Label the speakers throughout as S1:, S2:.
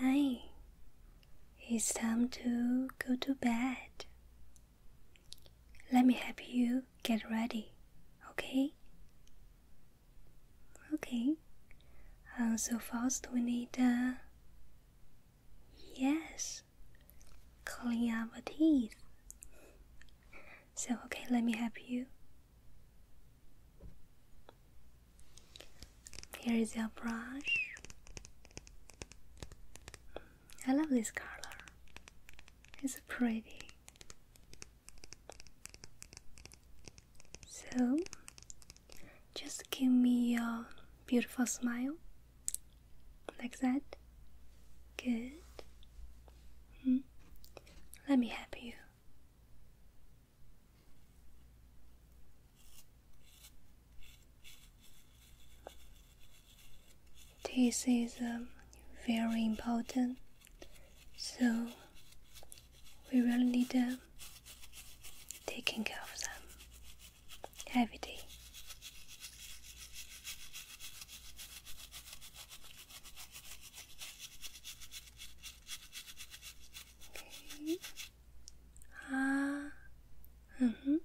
S1: Hi, it's time to go to bed. Let me help you get ready, okay? Okay. Uh, so first we need, uh, yes, clean our teeth. So okay, let me help you. Here is your brush. I love this color, it's pretty. So, just give me your beautiful smile like that. Good. Hmm. Let me help you. This is um, very important, so we really need them um, taking care of them every day. Okay. Ah, mm hmm.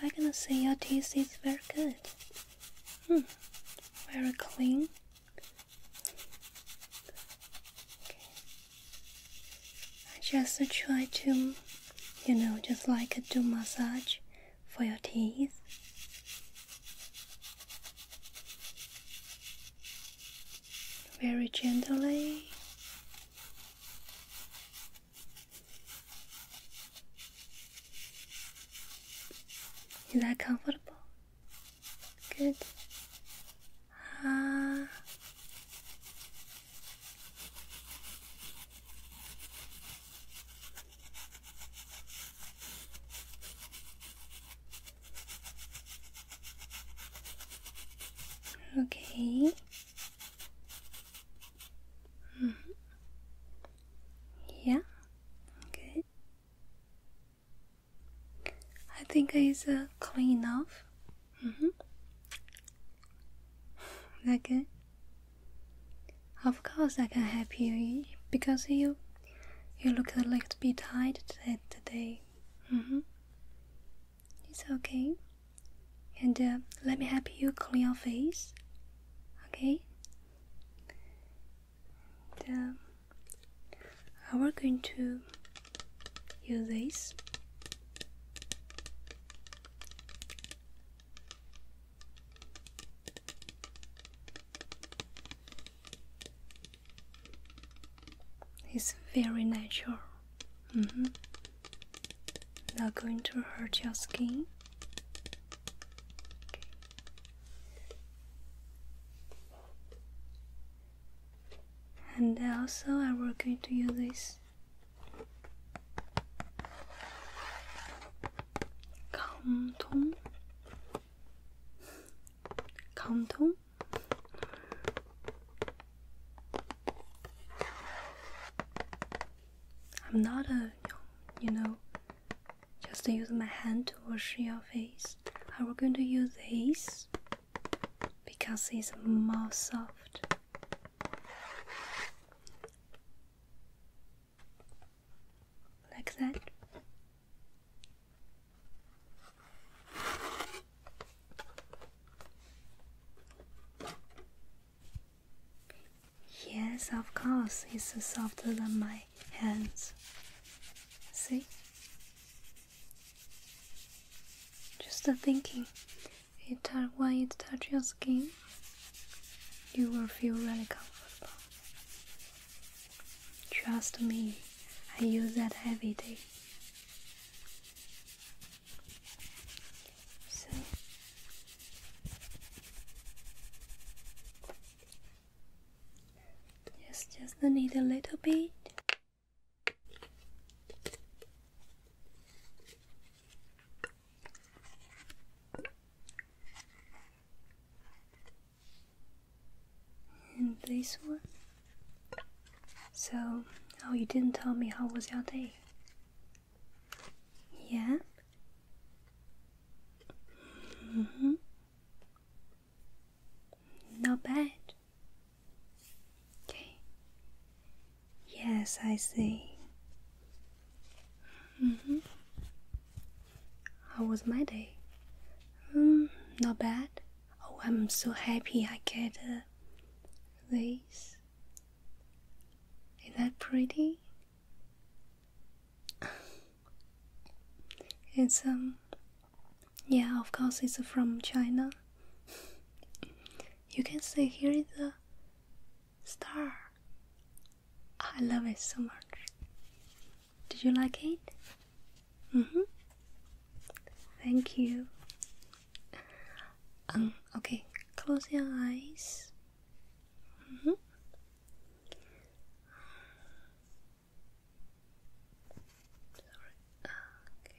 S1: I'm gonna say your teeth is very good. Hmm, very clean. I just try to, you know, just like a do massage for your teeth. Very gently. Is that comfortable? Good. Ah. Okay. -hmm. Yeah. Good. I think it's uh, clean enough. Mm -hmm. that good? Of course, I can help you because you you look a little bit tired today. Mm -hmm. It's okay. And uh, let me help you clean your face. Okay? the, we was going to use this it's very natural mm-hmm. not going to hurt your skin and also I am going to use this Kanton Kanton I'm not a you know just use my hand to wash your face. I am going to use this because it's more soft. Like that. Yes, of course, it's softer than my hands. See? Just thinking it when it touches your skin, you will feel really comfortable. Trust me, I use that every day. So, yes, just need a little bit. And this one. So, oh, you didn't tell me how was your day? Yeah? Mm hmm. Not bad. Okay. Yes, I see. Mm hmm How was my day? Mm, not bad. Oh, I'm so happy I get a, this. Is that pretty? it's um yeah, of course, it's from China. you can see here is the star. I love it so much. Did you like it? Mm-hmm. Thank you. Um, okay, close your eyes. Mm -hmm. Okay.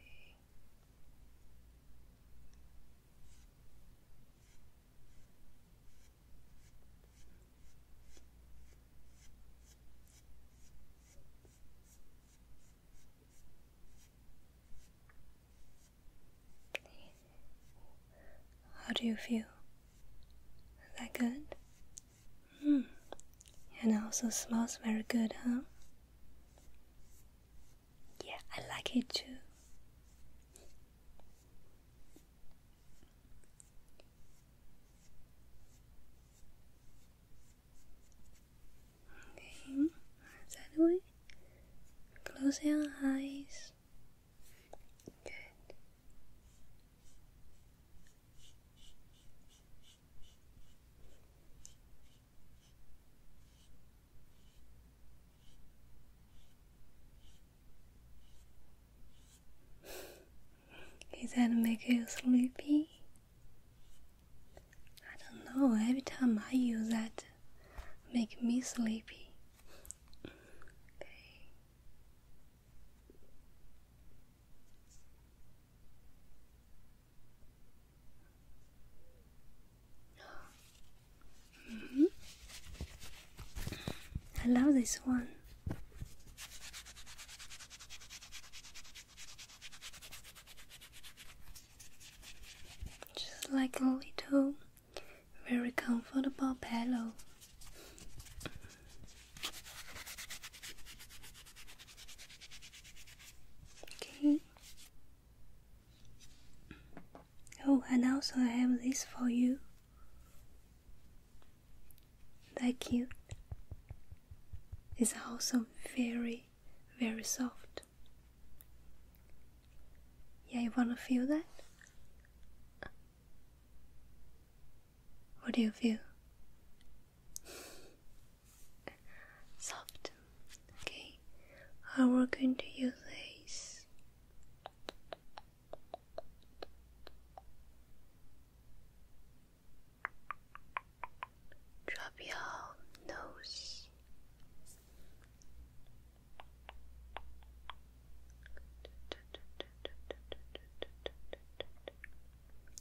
S1: How do you feel? Is that good? Hmm. And also smells very good, huh? Yeah, I like it too. Okay, that way. Close your eyes. Good. Is that make you sleepy? I don't know, every time I use that make me sleepy. Mm-hmm. I love this one. Just like a little, very comfortable pillow. Okay. Oh, and also I have this for you. That cute. It's also very, very soft. Yeah, you wanna feel that? What do you feel? soft. Okay, I am are going to use this. Drop your nose.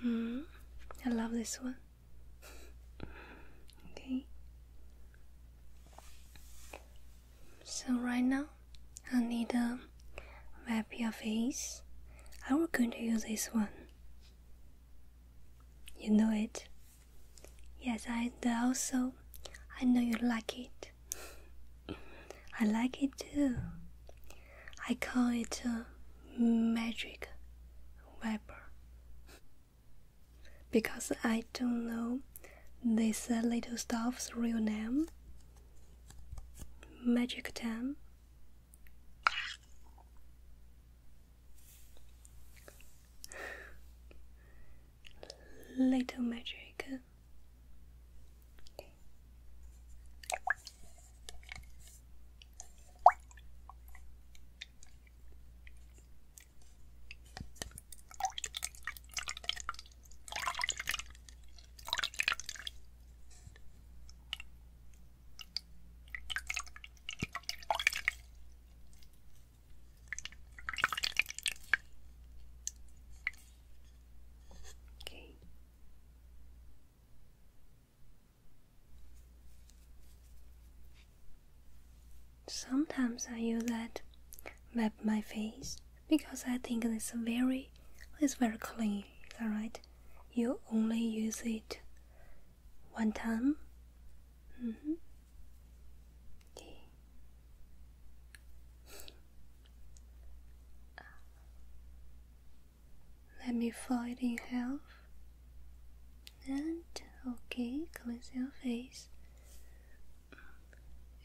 S1: Hmm, I love this one. okay. So right now, I need a wrap your face. I am going to use this one. You know it. Yes, I also I know you like it. I like it too. I call it magic vapor because I don't know this little stuff's real name. Magic time. Little magic. Okay. Sometimes I use that wrap my face because I think it's very it's very clean, alright? You only use it one time. Mm -hmm. Let me find it in half. And okay, cleanse your face.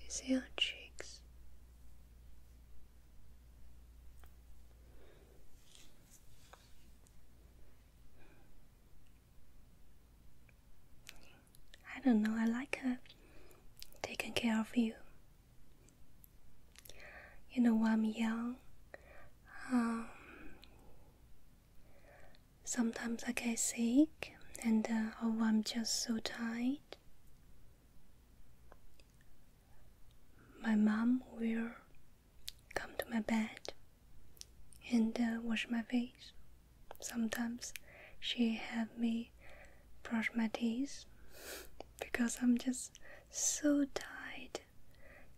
S1: Is your cheeks? I don't know, I like her uh, taking care of you. You know, when I'm young, um, sometimes I get sick and uh, or oh, I'm just so tired. My mom will come to my bed and uh, wash my face. Sometimes she have me brush my teeth because I'm just so tired.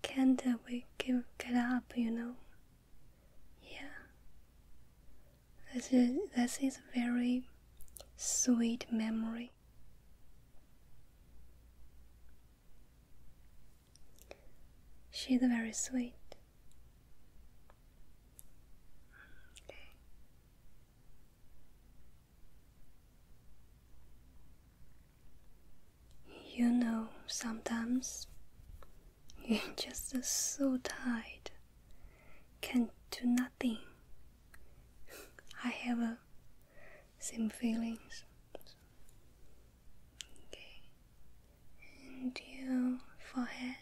S1: Can't uh, we give, get up, you know? Yeah. This is, this is very sweet memory. She's very sweet. You know, sometimes you're just so tired, can do nothing. I have a same feelings and your forehead.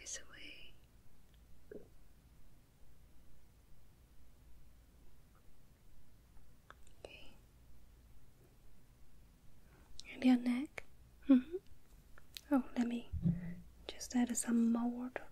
S1: This way. And your neck. Mm-hmm. Oh, let me just add some more water.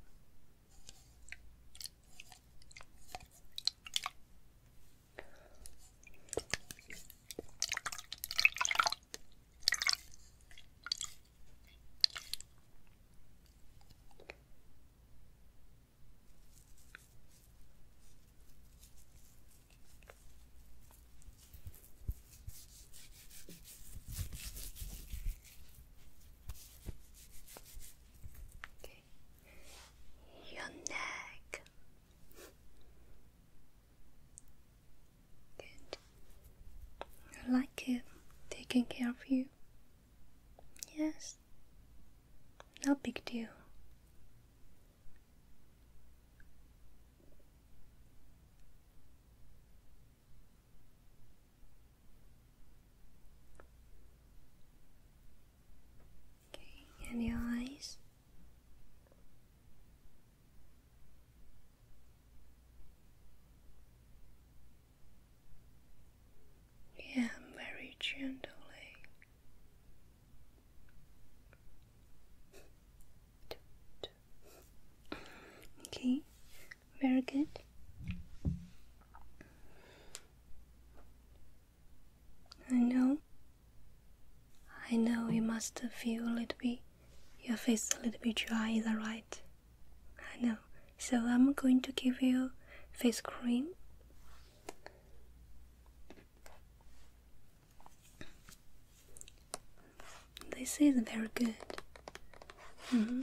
S1: Okay. Your neck. Good. I like it taking care of you. Yes. No big deal. Okay, and your eyes. Yeah, very gently Okay, very good. I know. I know you must feel a little bit, your face a little bit dry, is that right? I know. So I'm going to give you face cream. This is very good. Mm-hmm.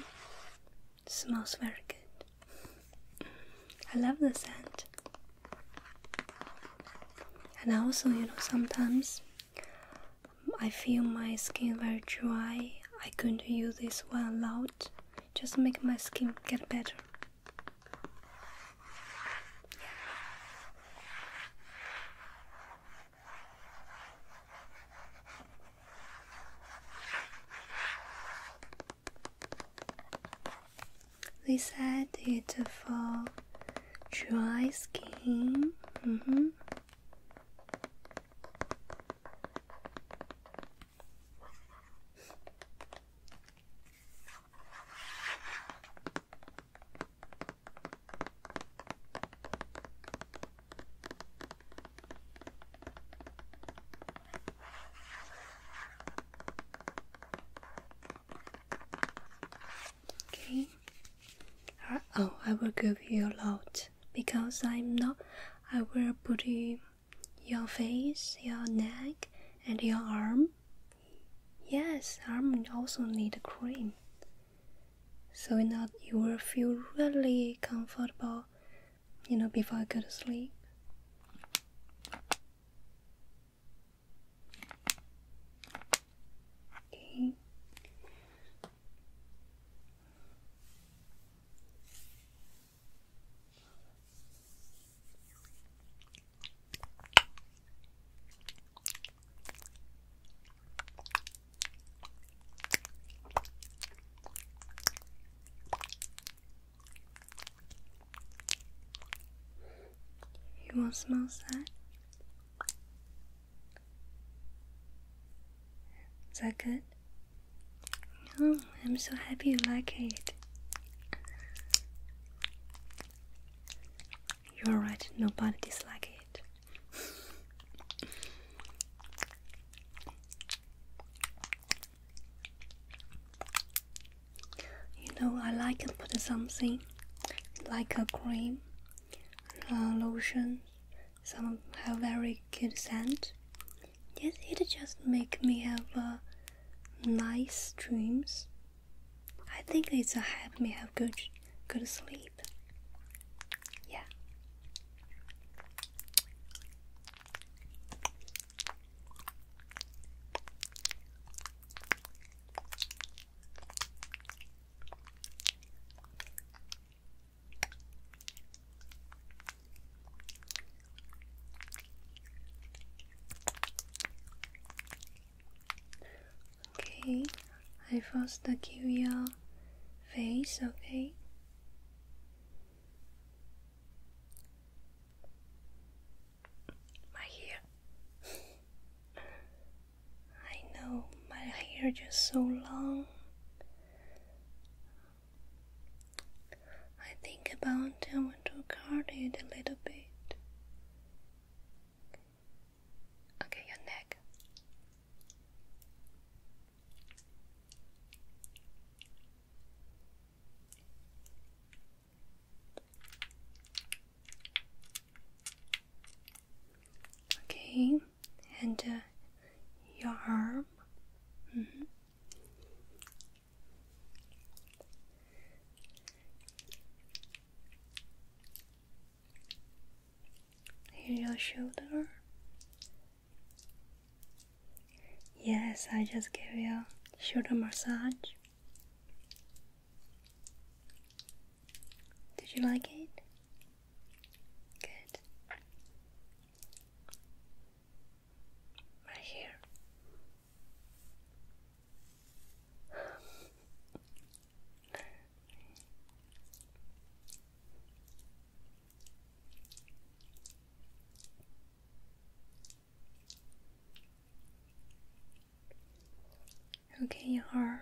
S1: Smells very good. I love the scent. And also, you know, sometimes I feel my skin very dry. I could use this one a lot. Just make my skin get better. This added for dry skin. Mm-hmm. Okay. Uh, oh, I will give you a lot because I'm not. I will put your face, your neck, and your arm Yes, arm also need cream. So you know you will feel really comfortable, you know, before I go to sleep. Okay. You all smells that? Is that good? Oh, I'm so happy you like it. You're right, nobody dislikes it. You know, I like to put something like a cream, a lotion, some have very good scent. Yes, it just make me have uh, nice dreams. I think it's a help me have good good sleep. Yeah. Okay, I first give your face, okay? My hair. I know my hair just so long. I think about I want to cut it a little bit. Okay, your neck. Okay, and uh, your arm. -hmm. Here's your shoulder. Yes, I just gave you a shoulder massage. Did you like it? Good. Right here. Okay, you are.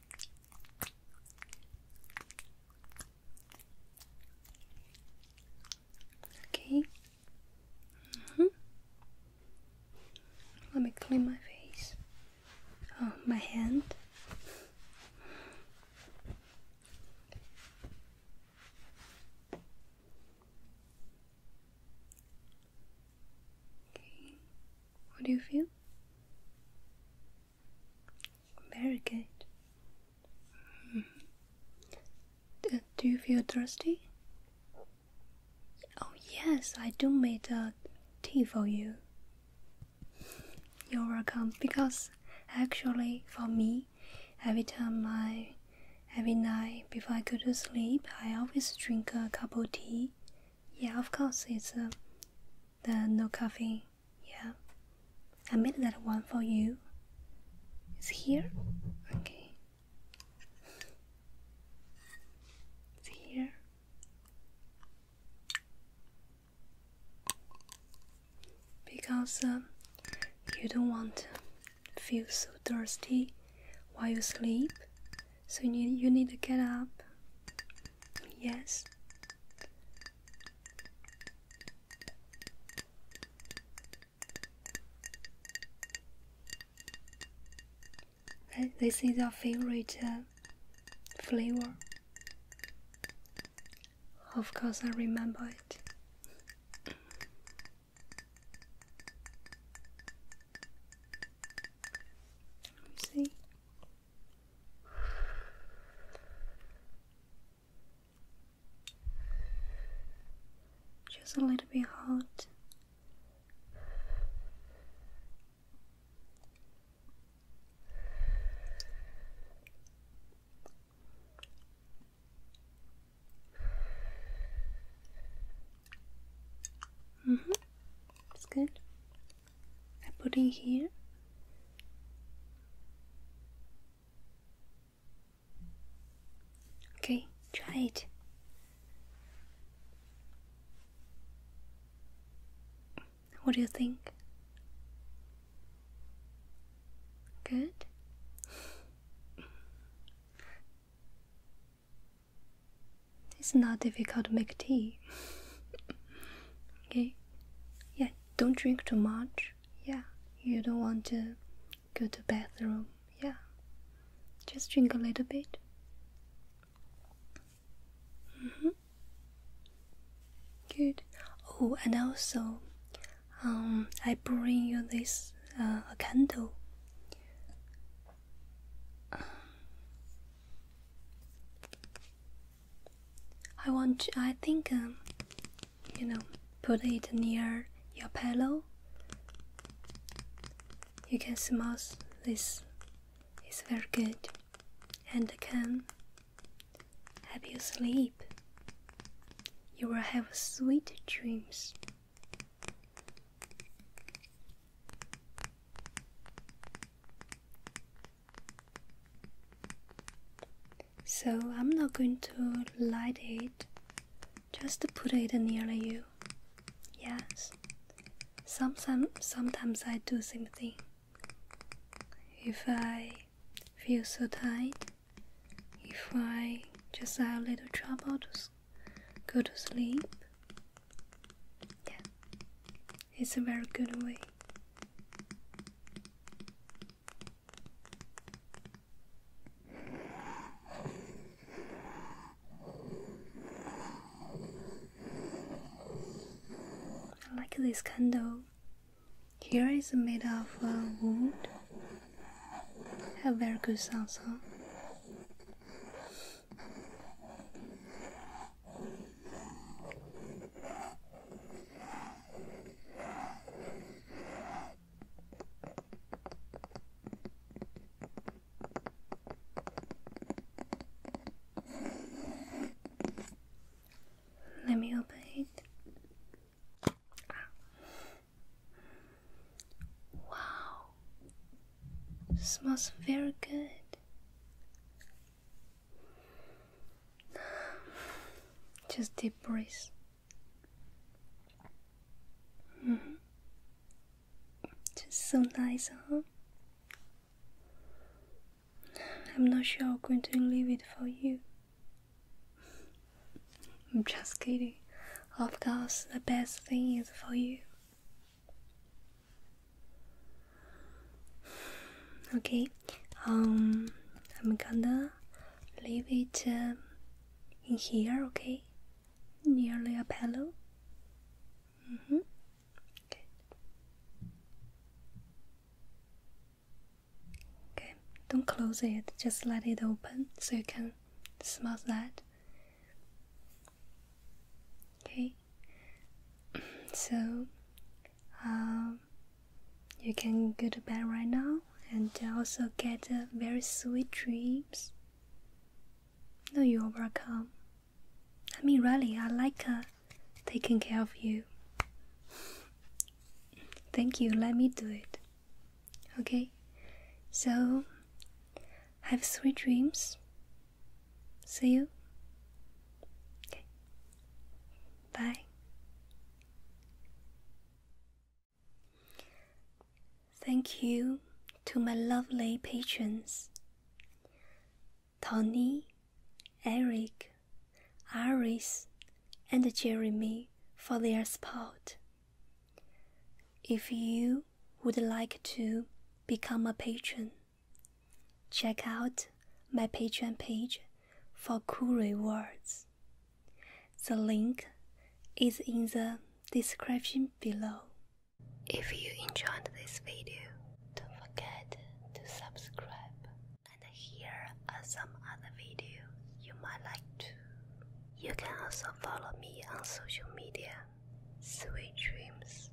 S1: Okay. Mm-hmm. Let me clean my face. Oh, my hand. Okay. How do you feel? Very good. Mm-hmm. Uh, do, you feel thirsty? Oh yes, I do make a tea for you. You're welcome. Because actually, for me, every time I, every night before I go to sleep, I always drink a cup of tea yeah, of course, it's uh, the no coffee. Yeah, I made that one for you. It's here. Okay. It's here. Because um, you don't want to feel so thirsty while you sleep, so you need, you need to get up. Yes. This is our favorite uh, flavor. Of course, I remember it. see. Just a little bit hot. hmm It's good. I put in here. Okay, try it. What do you think? Good. It's not difficult to make tea. okay? Yeah, don't drink too much. Yeah, you don't want to go to bathroom. Yeah. Just drink a little bit. Mm -hmm. Good. Oh, and also, um, I bring you this uh, a candle. I want. I think um, you know, put it near your pillow. You can smell this. It's very good, and can help you sleep. You will have sweet dreams. So I'm not going to light it, just put it near you. Yes. Sometimes, sometimes I do something. If I feel so tired. if I just have a little trouble to go to sleep, yeah, it's a very good way. I like this candle. Here is made of uh, wood. Have very good sound, huh? Let me open it. Ah. Wow, smells very good. Just deep breath. Mm -hmm. Just so nice, huh? I'm not sure I'm going to leave it for you. I'm just kidding. Of course, the best thing is for you. Okay, um, I'm gonna leave it um, in here, okay? Nearly a pillow. Mm hmm. Okay, don't close it, just let it open so you can smell that. Okay so um, you can go to bed right now and also get uh, very sweet dreams no you're welcome i mean really i like uh, taking care of you thank you let me do it okay so have sweet dreams See you? Okay. Bye. Thank you to my lovely patrons Tony, Eric, Iris, and Jeremy for their support. If you would like to become a patron, Check out my Patreon page for cool rewards. The link is in the description below. If you enjoyed this video, don't forget to subscribe and here are some other videos you might like too. You can also follow me on social media. Sweet dreams.